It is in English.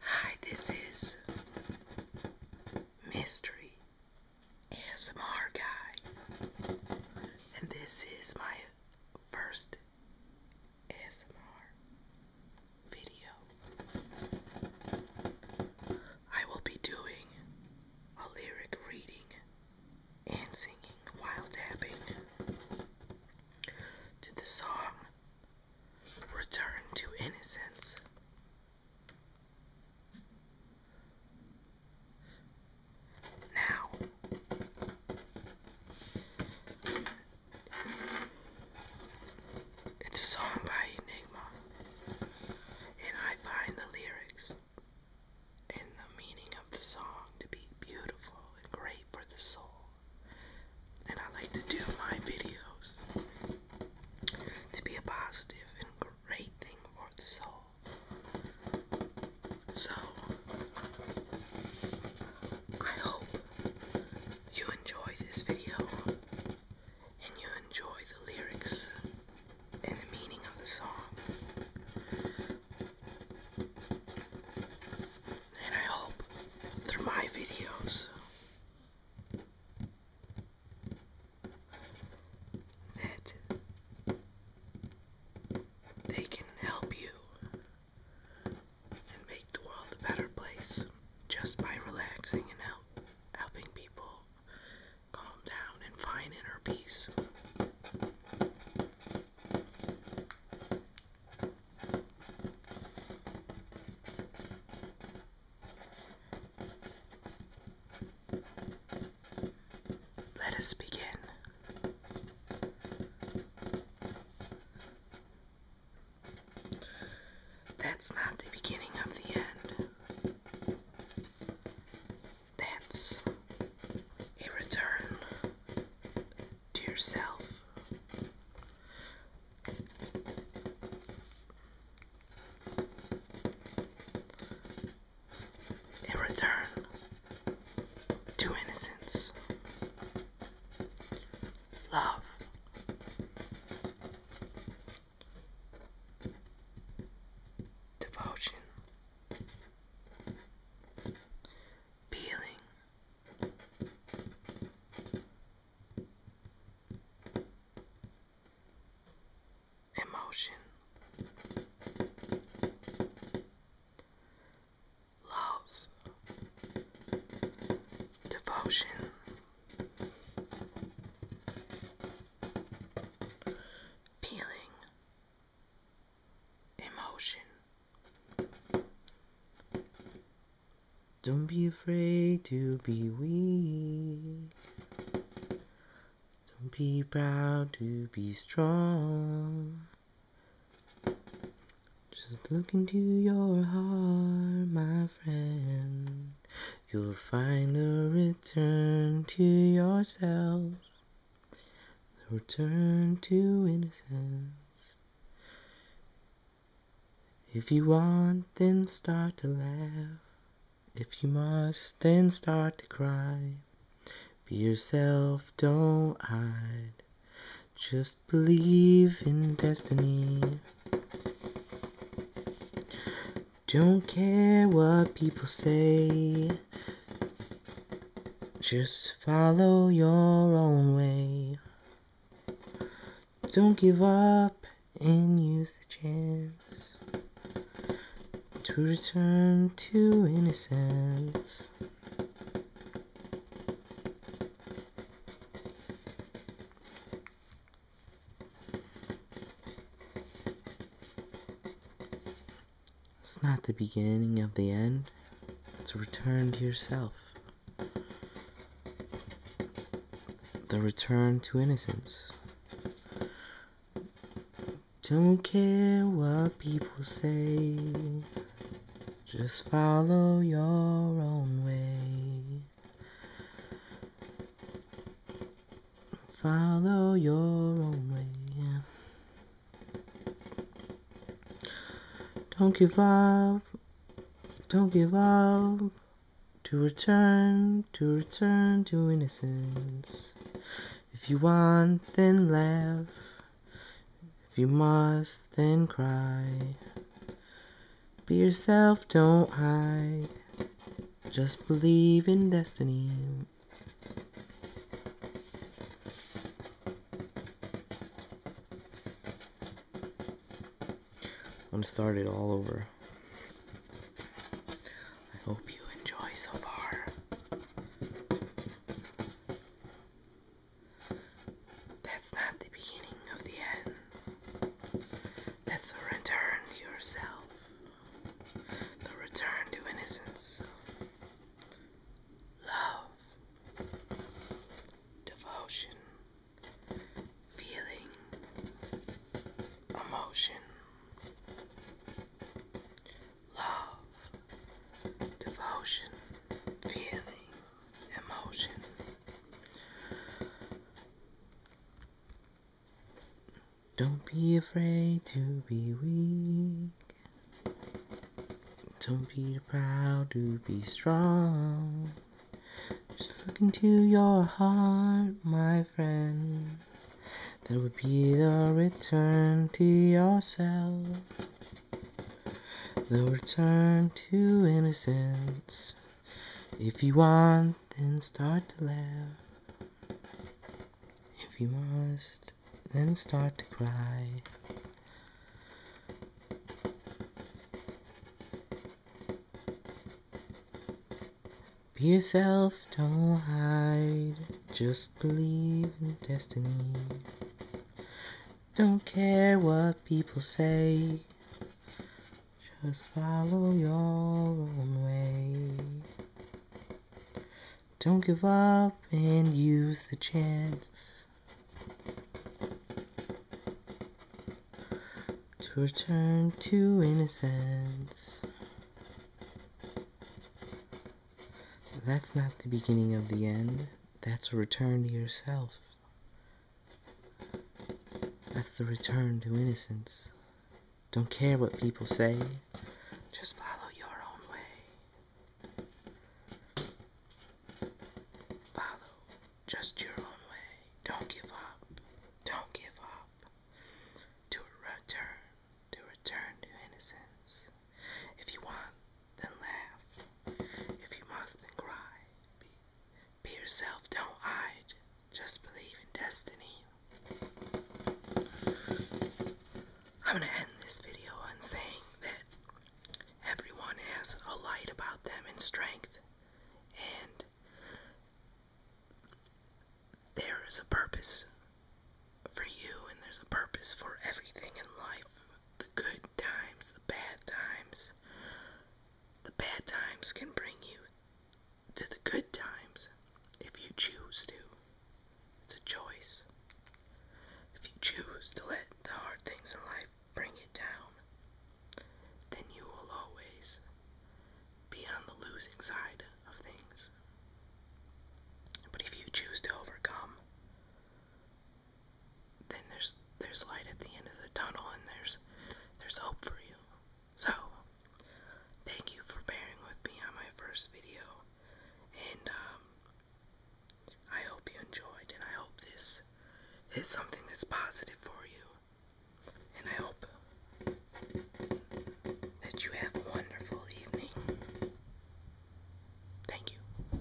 Hi, this is Mystery S M R Guy, and this is my first ASMR video. I will be doing a lyric reading and singing while tapping to the song Return to Innocence. Now, it's a song by Enigma, and I find the lyrics and the meaning of the song to be beautiful and great for the soul. And I like to do my videos to be a positive and great thing for the soul. So, I hope you enjoy this video and you enjoy the lyrics and the meaning of the song. And I hope through my videos that they can help you and make the world a better place just by relaxing and help, helping people and find inner peace. Let us begin. That's not the beginning of the end. That's a return to yourself. A return to innocence, love, devotion, peeling. Emotion, love, devotion, feeling, emotion. Don't be afraid to be weak. Don't be proud to be strong. Just look into your heart, my friend. You'll find a return to yourself, a return to innocence. If you want, then start to laugh. If you must, then start to cry. Be yourself, don't hide. Just believe in destiny. Don't care what people say. Just follow your own way. Don't give up and use the chance to return to innocence. It's not the beginning of the end, it's a return to yourself. The return to innocence. Don't care what people say, just follow your own way. Follow your own way. Don't give up. Don't give up. To return, to return to innocence. If you want, then laugh. If you must, then cry. Be yourself, don't hide. Just believe in destiny. I'm gonna start it all over. I hope you enjoy so far. That's not the beginning of the end. That's a return to yourself, the return to innocence, love, devotion, feeling, emotion, love, devotion, feeling, emotion. Don't be afraid to be weak. Don't be proud to be strong. Just look into your heart, my friend. That would be the return to yourself. The return to innocence. If you want, then start to laugh. If you must, then start to cry. Be yourself, don't hide. Just believe in destiny. Don't care what people say. Just follow your own way. Don't give up and use the chance to return to innocence. That's not the beginning of the end, that's a return to yourself. That's the return to innocence. Don't care what people say, just follow your own way. Follow just your own way. Don't give up. Don't give up. To return, to return to innocence. If you want, then laugh. If you must, then cry. Be yourself, don't hide. Just believe in destiny. I'm gonna end this video on saying that everyone has a light about them and strength, and there is a purpose for you, and there's a purpose for everything in life the good times, the bad times, the bad times can bring you to the good times if you choose to. It's a choice. If you choose to let the hard things in life bring you down, then you will always be on the losing side of things. But if you choose to overcome, then there's there's light at the end of the tunnel and there's there's hope for you. So thank you for bearing with me on my first video and um, I hope you enjoyed and I hope this is something that's positive for you. And I hope that you have a wonderful evening. Thank you.